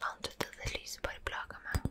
Fan dette, det lyset bare plager meg.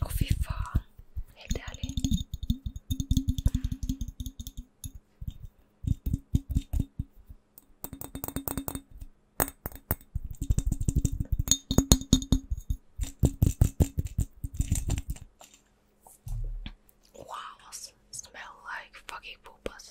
Och fy fan, helt ärligt. Wow, smell like fucking poopers.